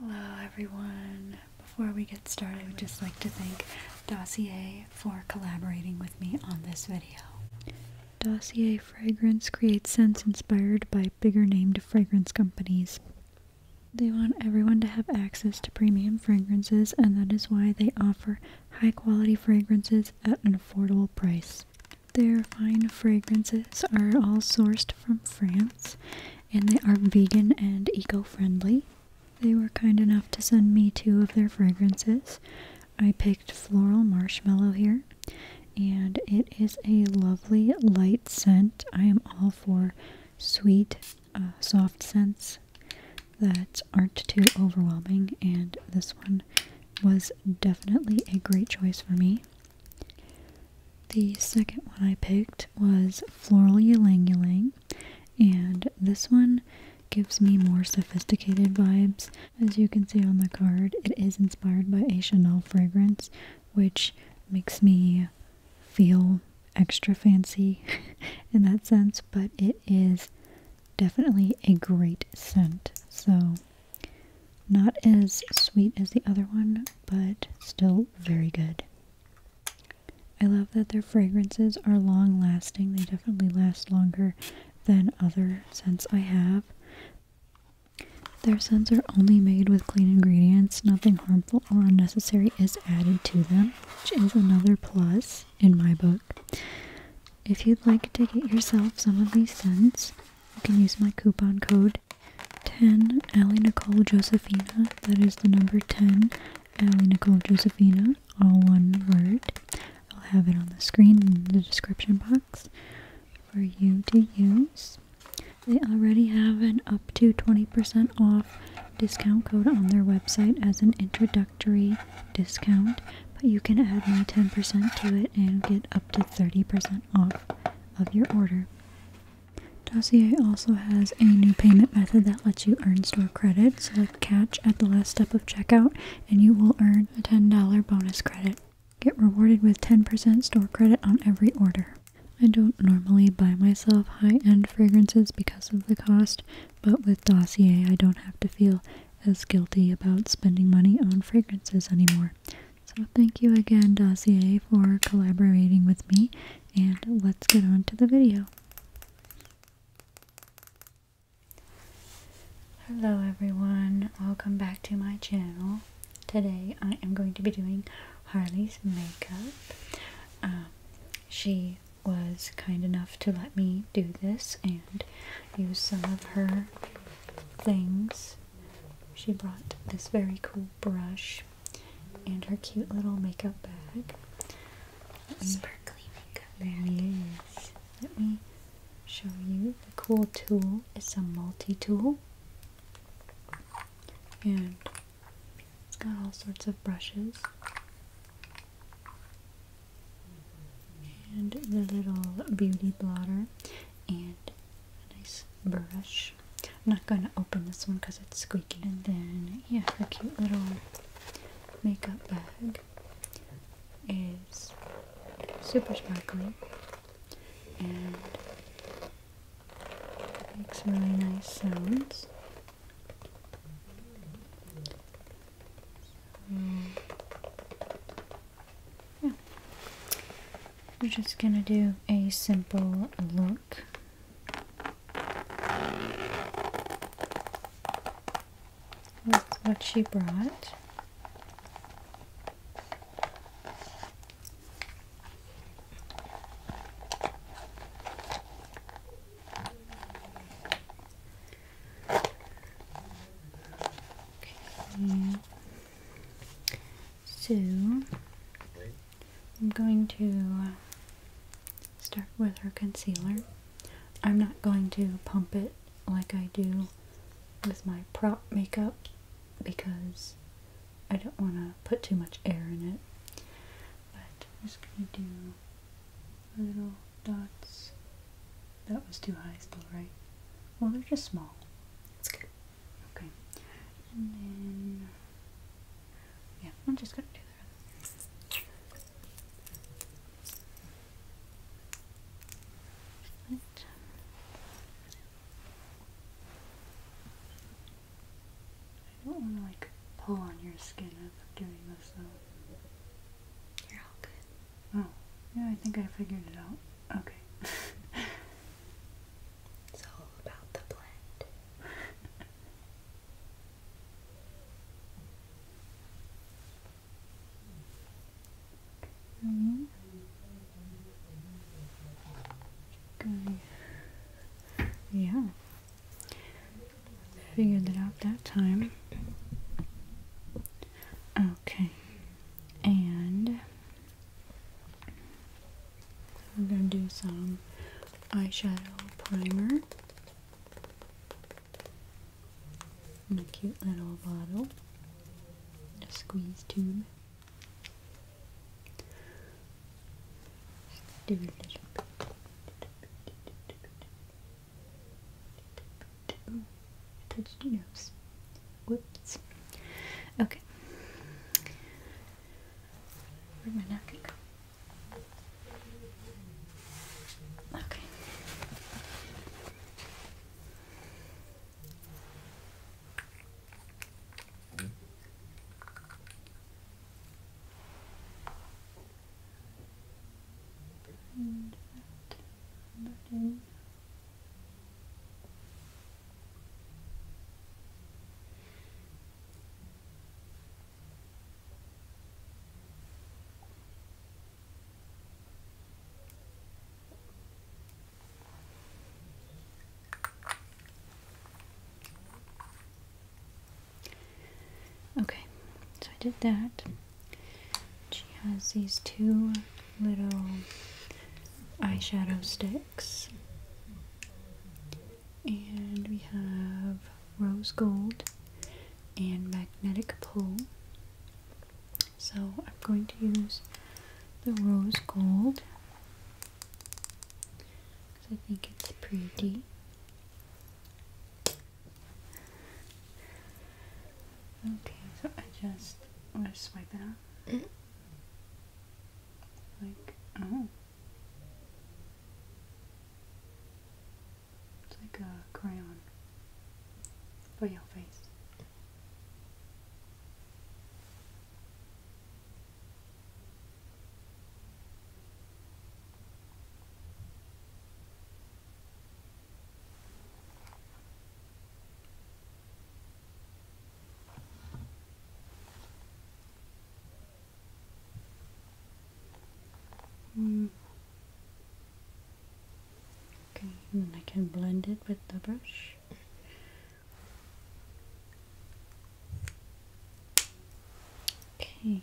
Hello everyone. Before we get started, I would just like to thank Dossier for collaborating with me on this video. Dossier Fragrance creates scents inspired by bigger named fragrance companies. They want everyone to have access to premium fragrances and that is why they offer high quality fragrances at an affordable price. Their fine fragrances are all sourced from France and they are vegan and eco-friendly. They were kind enough to send me two of their fragrances. I picked Floral Marshmallow here, and it is a lovely light scent. I am all for sweet, uh, soft scents that aren't too overwhelming, and this one was definitely a great choice for me. The second one I picked was Floral Ylang Ylang, and this one gives me more sophisticated vibes. As you can see on the card, it is inspired by a Chanel fragrance, which makes me feel extra fancy in that sense, but it is definitely a great scent. So, not as sweet as the other one, but still very good. I love that their fragrances are long lasting. They definitely last longer than other scents I have. Their scents are only made with clean ingredients. Nothing harmful or unnecessary is added to them, which is another plus in my book. If you'd like to get yourself some of these scents, you can use my coupon code 10, Allie Nicole Josephina. That is the number 10, Allie Nicole Josephina, all one word. I'll have it on the screen in the description box for you to use. They already have an up to 20% off discount code on their website as an introductory discount, but you can add my 10% to it and get up to 30% off of your order. Dossier also has a new payment method that lets you earn store credit. Select catch at the last step of checkout and you will earn a $10 bonus credit. Get rewarded with 10% store credit on every order. I don't normally buy myself high-end fragrances because of the cost, but with Dossier I don't have to feel as guilty about spending money on fragrances anymore. So thank you again, Dossier, for collaborating with me, and let's get on to the video. Hello everyone, welcome back to my channel. Today I am going to be doing Harley's makeup. Um, she was kind enough to let me do this and use some of her things. She brought this very cool brush and her cute little makeup bag. Sparkly makeup bag. Yes. Let me show you. The cool tool It's a multi-tool. And it's got all sorts of brushes. And the little beauty blotter. And a nice mm. brush. I'm not going to open this one because it's squeaky. And then, yeah, a cute little makeup bag is super sparkly and makes really nice sounds. We're just gonna do a simple look. With what she brought. Okay. So I'm going to start with our concealer. I'm not going to pump it like I do with my prop makeup because I don't want to put too much air in it. But I'm just going to do little dots. That was too high still, right? Well, they're just small. That's good. Okay. And then yeah, I'm just gonna do that. Right. I don't want to like pull on your skin I'm doing this though. You're all good. Oh, yeah, I think I figured it out. Okay. It's all about the blend. -hmm. Good. Yeah. Figured it out that time. Okay. And I'm going to do some eyeshadow primer in a cute little bottle, a squeeze tube. Touch your nose. Whoops. Okay. Where'd my napkin go? Okay. And that button Okay, so I did that. She has these two little eyeshadow sticks. And we have rose gold and magnetic pull. So I'm going to use the rose gold because I think it's pretty. Okay, so I just want swipe it out. Like, oh. It's like a crayon for your face. Hmm. Okay, and I can blend it with the brush. Okay.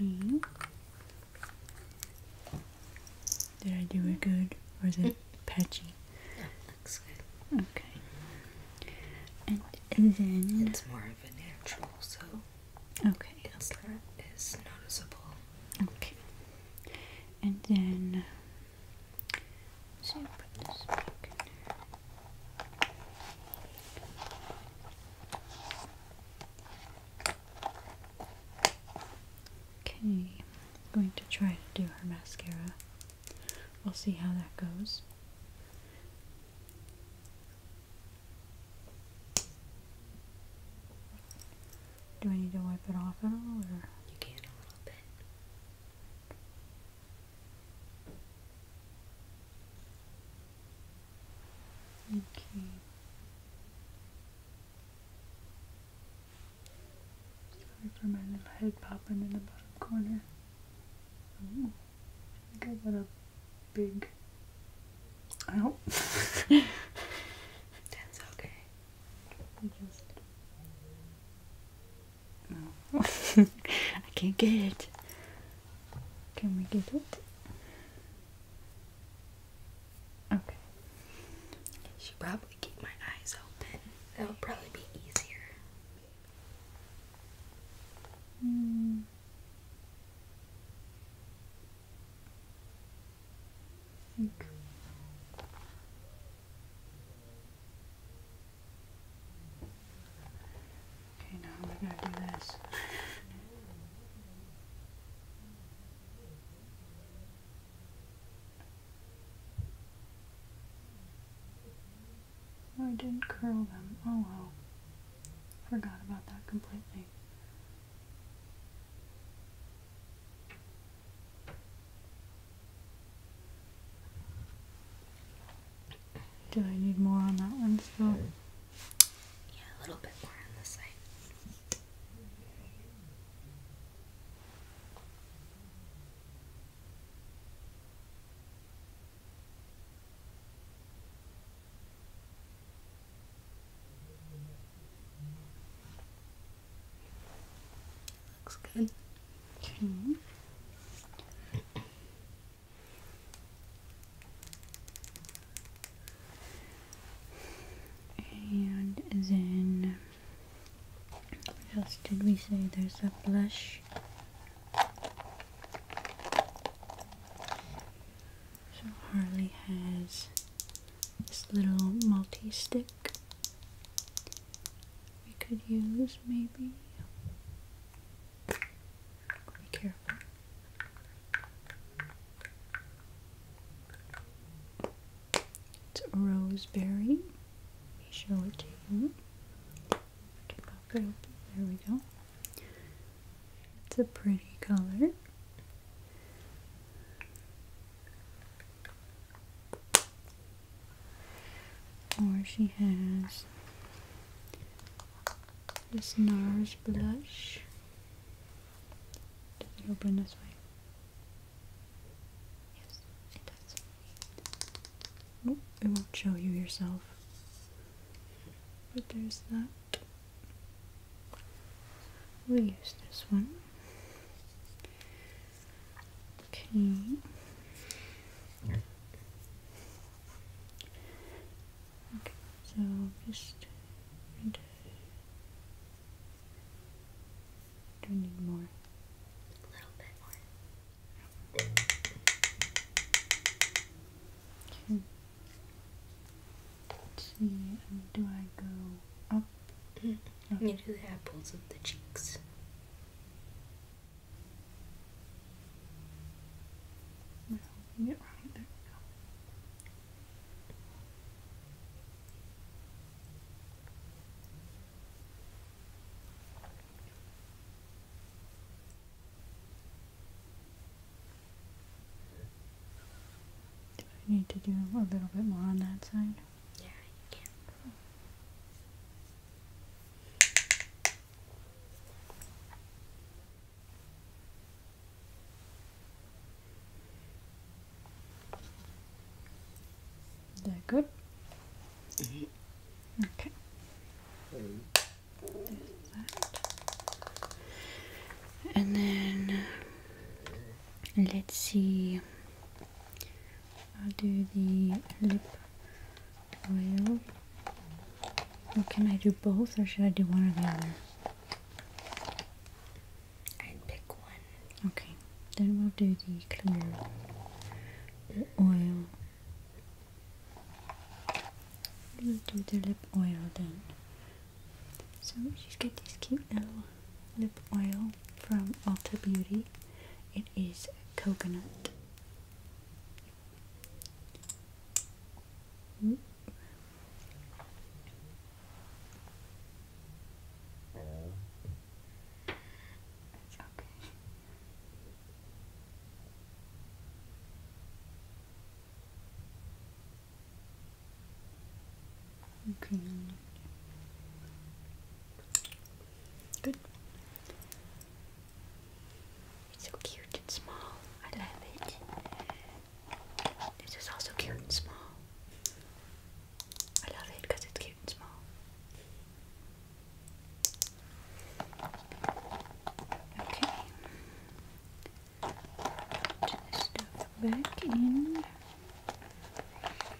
Okay. Did I do it good or is it patchy? looks good. Okay. And, and then it's more of a natural, so okay, it's not as noticeable. Okay. And then so put this Okay, I'm going to try to do her mascara. We'll see how that goes. Do I need to wipe it off at all, or you can a little bit? Okay. Sorry for my little head popping in the bottom corner. Ooh, I got a big. Ow. That's okay. just no. I can't get it. Can we get it? Okay. Should probably keep my eyes open. That would probably be easier. Mm. think Okay, now I'm going to do this. Oh, I didn't curl them. Oh well. Forgot about that completely. Do I need more on that one still? Yeah, a little bit more on this side. Looks good. And then, what else did we say? There's a blush. So Harley has this little multi stick we could use, maybe. Be careful. It's roseberry. Let me show it to you. There we go. It's a pretty color. Or she has this NARS blush. Does it open this way? Yes, it does. it won't show you yourself. But there's that. we use this one. Okay. Okay, so just do need more. A little bit more. Okay. Let's see, do I go up? Mm -hmm. okay. the apples of the cheeks i Do I need to do a little bit more on that side? Yeah, you can. Cool. good? Mm-hmm. Okay. And then uh, let's see I'll do the lip oil. Or can I do both or should I do one or the other? I'd pick one. Okay, then we'll do the clear oil. We'll do the lip oil then. So you just get this cute little lip oil from Ulta Beauty. It is coconut. It's okay. Okay. Good. It's so cute and small. I love it. This is also cute and small. I love it because it's cute and small. Okay. Put this stuff back in.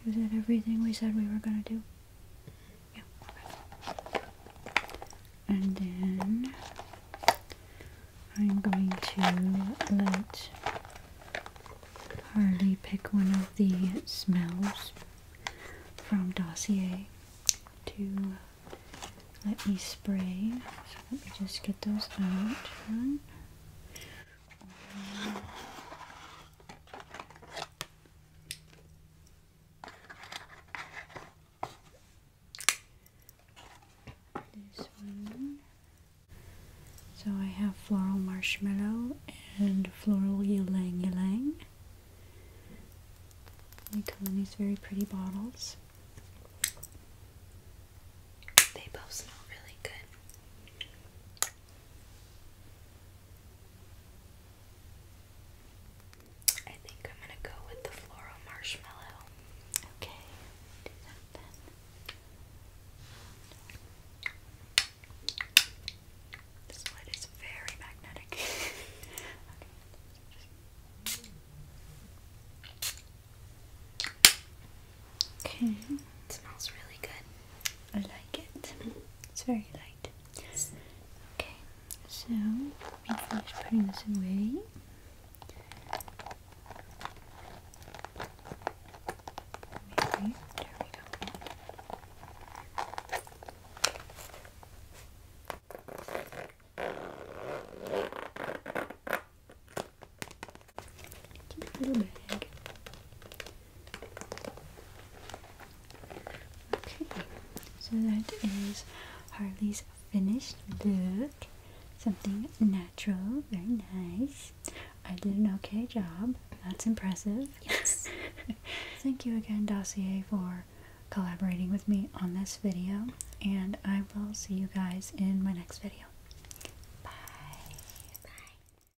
Is that everything we said we were gonna do? And then I'm going to let Harley pick one of the smells from Dossier to let me spray. So let me just get those out. So I have floral marshmallow and floral ylang ylang. They come in these very pretty bottles. They both smell really good. I think I'm gonna go with the floral marshmallow. Okay, that This lid is very magnetic. okay, it smells really good. I like it. It's very light. Okay, so let me finish putting this away. There we go. little bag. Okay, so that is Harley's finished look. Something natural, very nice. I did an okay job. That's impressive. Yes. Thank you again, Dossier, for collaborating with me on this video. And I will see you guys in my next video. Bye. Bye.